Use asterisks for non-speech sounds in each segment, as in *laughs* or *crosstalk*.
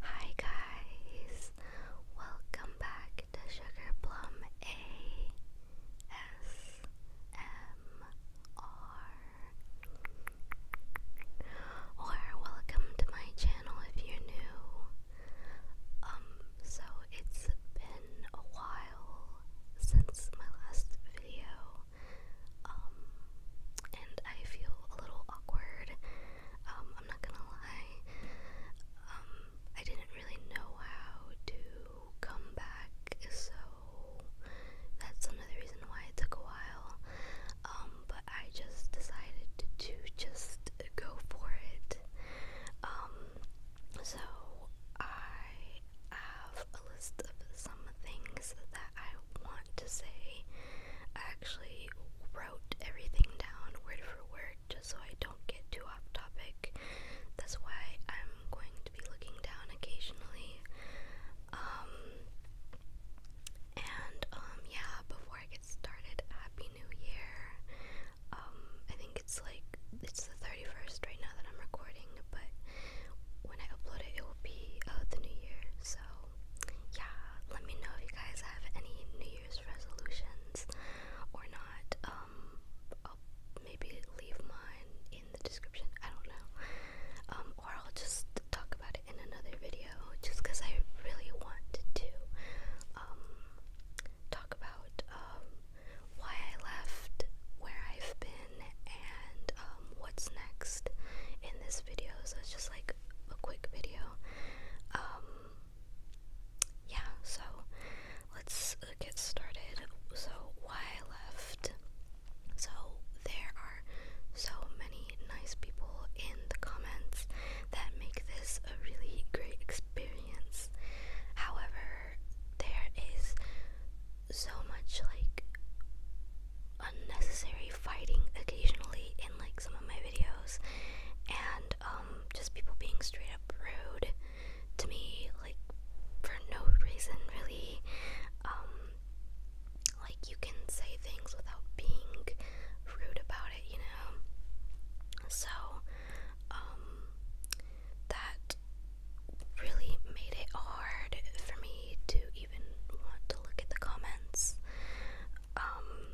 Hi guys, welcome back to Sugar Plum A S M R. Or welcome to my channel if you're new. Um, so it's been a while since my last video um, and I feel a little awkward. Um, I'm not gonna lie. Um, I didn't really know how to come back, so that's another reason why it took a while. Um, but I just decided to just go for it. Um, so I have a list of some things that I want to say. I actually wrote everything down word for word just so I don't get too off topic. That's why I'm going to be looking down occasionally. Um, and um, yeah, before I get started, Happy New Year. Um, I think it's like it's the 31st right now that I'm recording, but when I upload it, it will be uh, the New Year. So yeah, let me know if you guys have any New Year's resolutions or not. Um, I'll maybe leave mine in the description. I don't know. Um, or I'll just talk about it in another video, just because I really want to um, talk about um, why I left where I've been and um, what's next in this video. So it's just like a quick video. Um, yeah, so let's uh, get started. So, why I left. So, there are so many nice people in the comments that make this a really great experience. However, there is so much like unnecessary fighting occasionally in like some of my videos and um just people being straight up rude to me like for no reason really um like you can say things without being rude about it you know so um that really made it hard for me to even want to look at the comments. Um,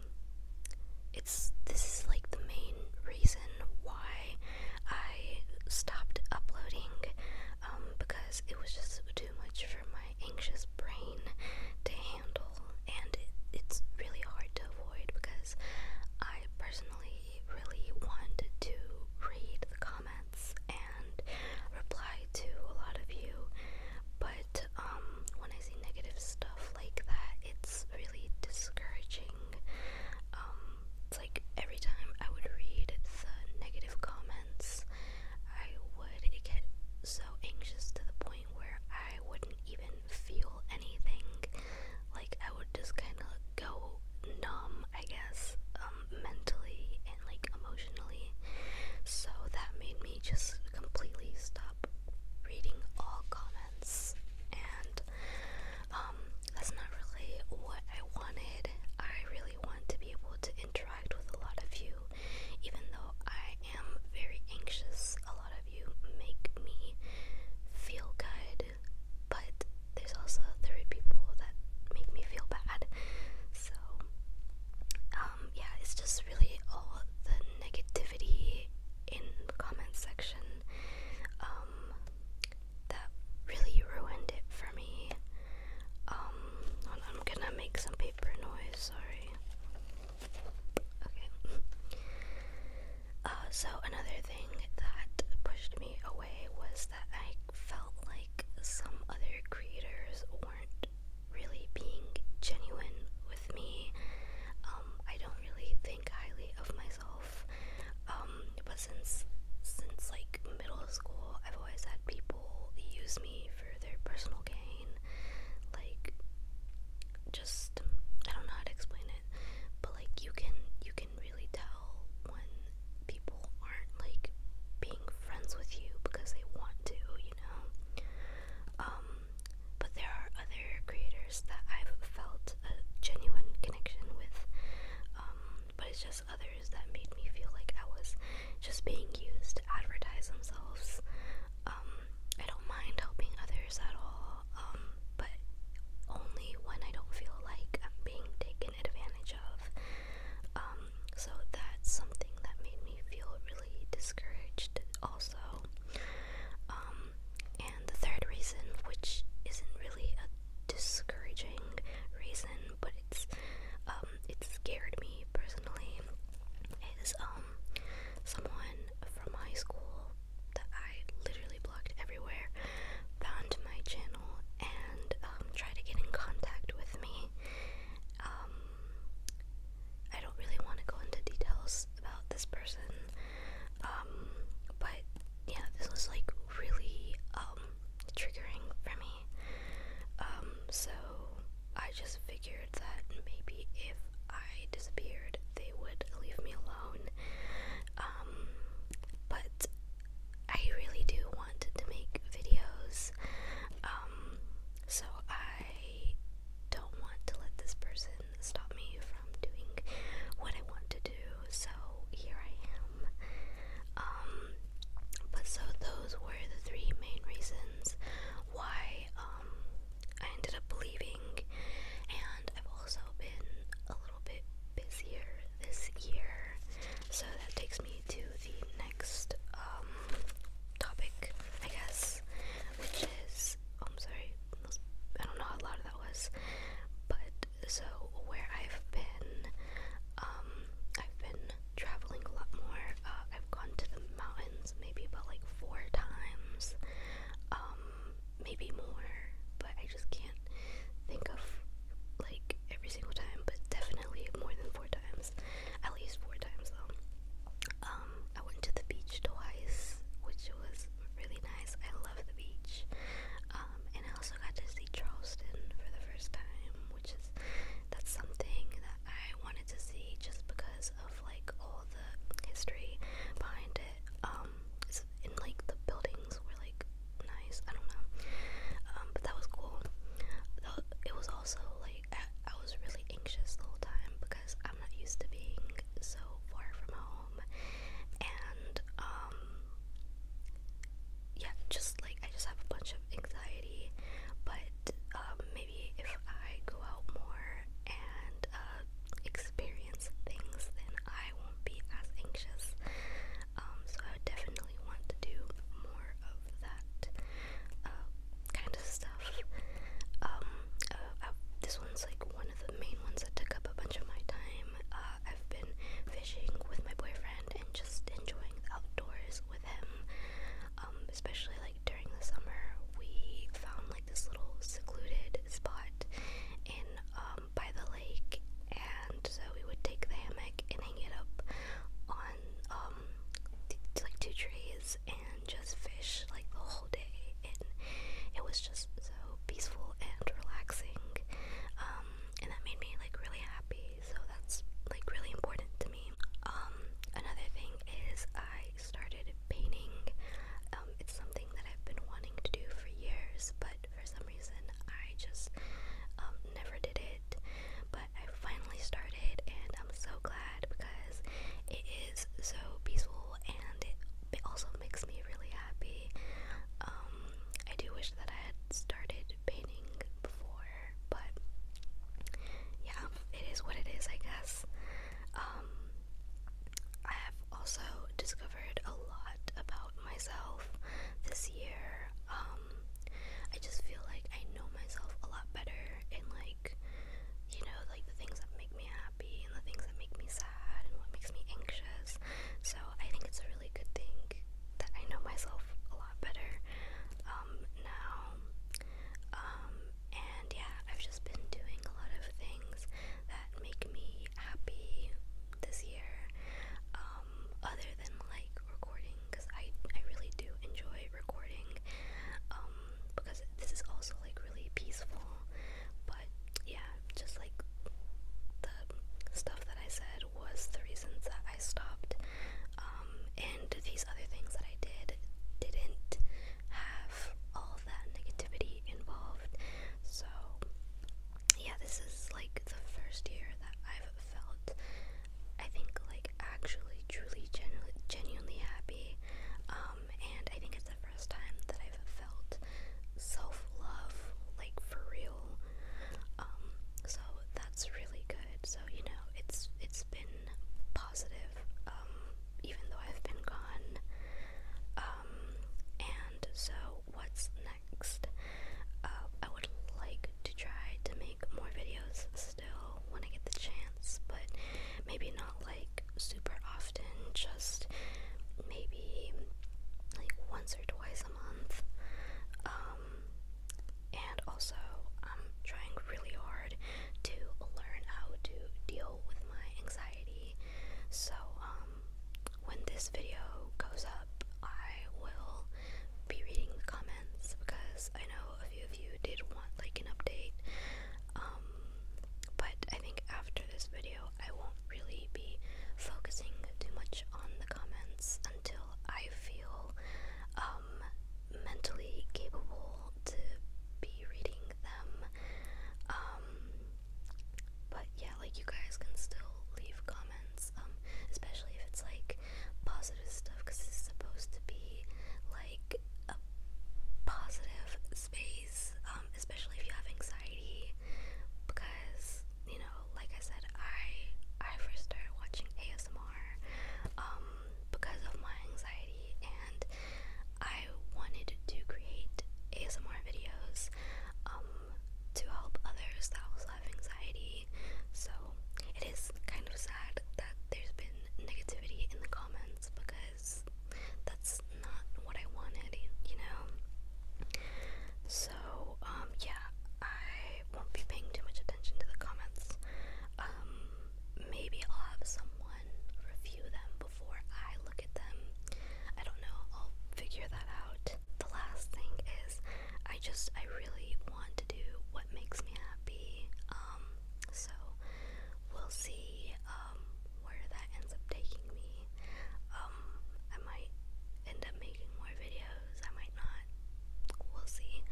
it's this is like the main reason why I stopped uploading um, because it was just too much for my anxious brain to handle, and it, it's really hard to avoid because I personally really want to read the comments and reply to a lot of you, but um, when I see negative stuff like that, it's really discouraging. Um, it's like every time I would read the negative comments, I would get so anxious to the point where I wouldn't even feel anything. Like I would just kind of go numb, I guess. Um, um, mentally and like emotionally. So that made me just completely stop reading all comments, and um, that's not really what I wanted. I really want to be able to interact with a lot of you, even though I am very anxious. A lot of you make me feel good but there's also three people that make me feel bad. So, um, yeah, it's just really all the negativity in the comment section um, that really ruined it for me. Um, I'm gonna make some paper noise, sorry. Okay. *laughs* Uh, so another thing that pushed me away was I felt like some other creators weren't really being genuine with me. Um, I don't really think highly of myself. Um, but since since like middle school, I've always had people use me for their personal gain. Like just I don't know how to explain it, but like you can you can really tell when people aren't like being friends with you because they want to, you know. Um, but there are other creators that I've felt a genuine connection with. Um, but it's just others that made me feel like I was just being used to advertise themselves. Um, I don't mind helping others at all but only when I don't feel like I'm being taken advantage of. Um, so that's something that made me feel really discouraged, also. Um, and the third reason, which isn't really a discouraging reason, but it's um, it scared me personally, is um, someone from high school that I literally everywhere, found my channel and um, tried to get in contact with me. Um, I don't really want to go into details about this person, um, but yeah, this was like really triggering for me. so I just figured that maybe if I disappeared, they would leave me alone um, but I really do want to make videos, um, so I don't want to let this person stop me from doing what I want to do, so here I am. Um, but so those were the three main reasons why, um, I ended up leaving, and I've also been a little bit busier this year, so that takes me to the next um, topic, I guess, which is oh, I'm sorry, I don't know how loud that was, but so where I've been, um, I've been traveling a lot more. Uh, I've gone to the mountains maybe about like four times. Um, maybe more, but I just can't think of like every single time, but definitely more than four times, at least four times though. Um, I went to the beach twice, which was really nice. I love the beach. Um, and I also got to see Charleston for the first time, which is that's something that I wanted to see just because of like all the history behind um, it. in like the buildings were like nice. I don't know. Um, but that was cool. it was also like I, was really anxious the whole time because I'm not used to being so far from home, and um, yeah, just like I just have a bunch of anxiety. But maybe if I go out more and uh, experience things, then I won't be as anxious. Um, so I definitely want to do more of that uh, kind of stuff. Um, uh, uh, this one's like one of the main ones that took up a bunch of my time. I've been fishing with my boyfriend and just enjoying the outdoors with him, um, especially like during the summer, we found like this little secluded spot in um, by the lake, and so we would take the hammock and hang it up on um like two trees and just fish like the whole day, and it was just so peaceful and relaxing, um, and that made me like really happy. So that's like really important to me. Um, another thing is I started painting. Um, it's something that I've been wanting to do for years, but for some reason I just um, never did it. But I finally started, and I'm so glad because it is so peaceful and it, also makes me really happy. Um, I do wish that I had started painting before, but yeah, it is what it is, I guess. Um, I have also discovered a lot about myself this year. Um, I just feel like I know myself a lot better and like you know, like the things that make me happy and the things that make me sad and what makes me anxious. So I think it's a really good thing that I know myself a lot better um, now and yeah, I've just been doing a lot of things that make me happy this year, um, other than like recording, because I, I really do enjoy recording, um, because this is also like really peaceful, but yeah, just like the stuff that I said was the reasons that I stopped um, and these other things that I did didn't have all that negativity involved. So, yeah, this is like the first year that I've felt, I think, like actually, truly, genu genuinely happy. Um, and I think it's the first time that I've felt self love, like for real. Um, so that's really good. So you know, it's it's been positive, um, even though I've been gone. Um, and so, what's next? Uh, I would like to try to make more videos still when I get the chance, but maybe not like super often, just maybe like once or twice a month. Um, um, and also, I'm trying really hard to learn how to deal with my anxiety. So, um, when this video goes up, I will be reading the comments because I know a few of you did want like an update. Um, but I think after this video, I won't really be focusing too much on the comments until I feel um, mentally capable to be reading them. Um, but yeah, like you guys can still leave comments, um, especially if it's like positive stuff, because it's supposed to be like a positive space, especially if you have anxiety, because you know, like I said, I I first started watching ASMR um, because of my anxiety, and I wanted to create ASMR videos um, to help others that also have anxiety. So it is kind of sad that there's been negativity in the comments because that's not what I wanted, you know? So, so, um, yeah, I won't be paying too much attention to the comments. Um, maybe I'll have someone review them before I look at them. I don't know, I'll figure that out. The last thing is, I just, I really want to do what makes me happy. Um, so we'll see, where that ends up taking me. I might end up making more videos. I might not. We'll see.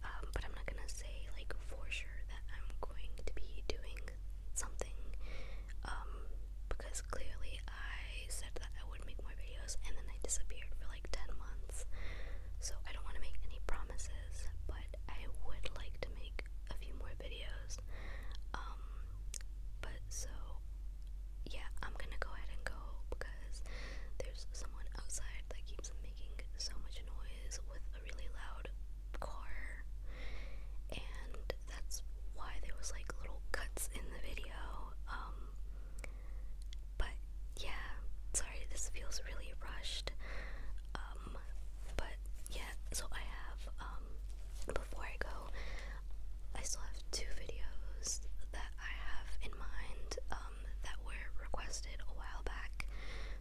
Um, but I'm not gonna say like for sure that I'm going to be doing something. Um, because clearly I said that I would make more videos and then I disappeared for like 10 months. So I don't want to make any promises, but I would like to make a few more videos. Um, but so yeah, I'm gonna go ahead and go because there's someone outside that keeps making so much noise with a really loud car, and that's why there was like little cuts in the video. Um, but yeah, sorry, this feels really rushed. Um, but yeah, so I have um, before I go, I still have two videos that I have in mind um, that were requested a while back,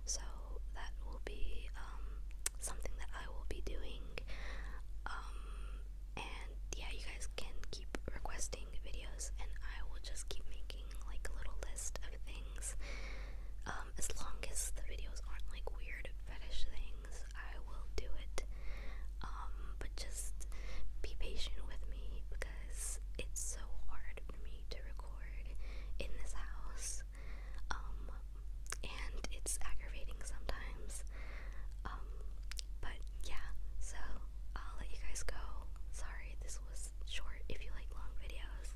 so that will be um, something that I will be doing. Um, and yeah, you guys can keep requesting videos, and I will just keep making like a little list of things. as long as the videos aren't like weird fetish things, I will do it. Um, but just be patient with me because it's so hard for me to record in this house. Um, and it's aggravating sometimes. Um, but yeah, so I'll let you guys go. Sorry, this was short if you like long videos.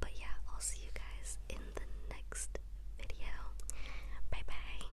but yeah, I'll see you guys in the next video. Bye bye.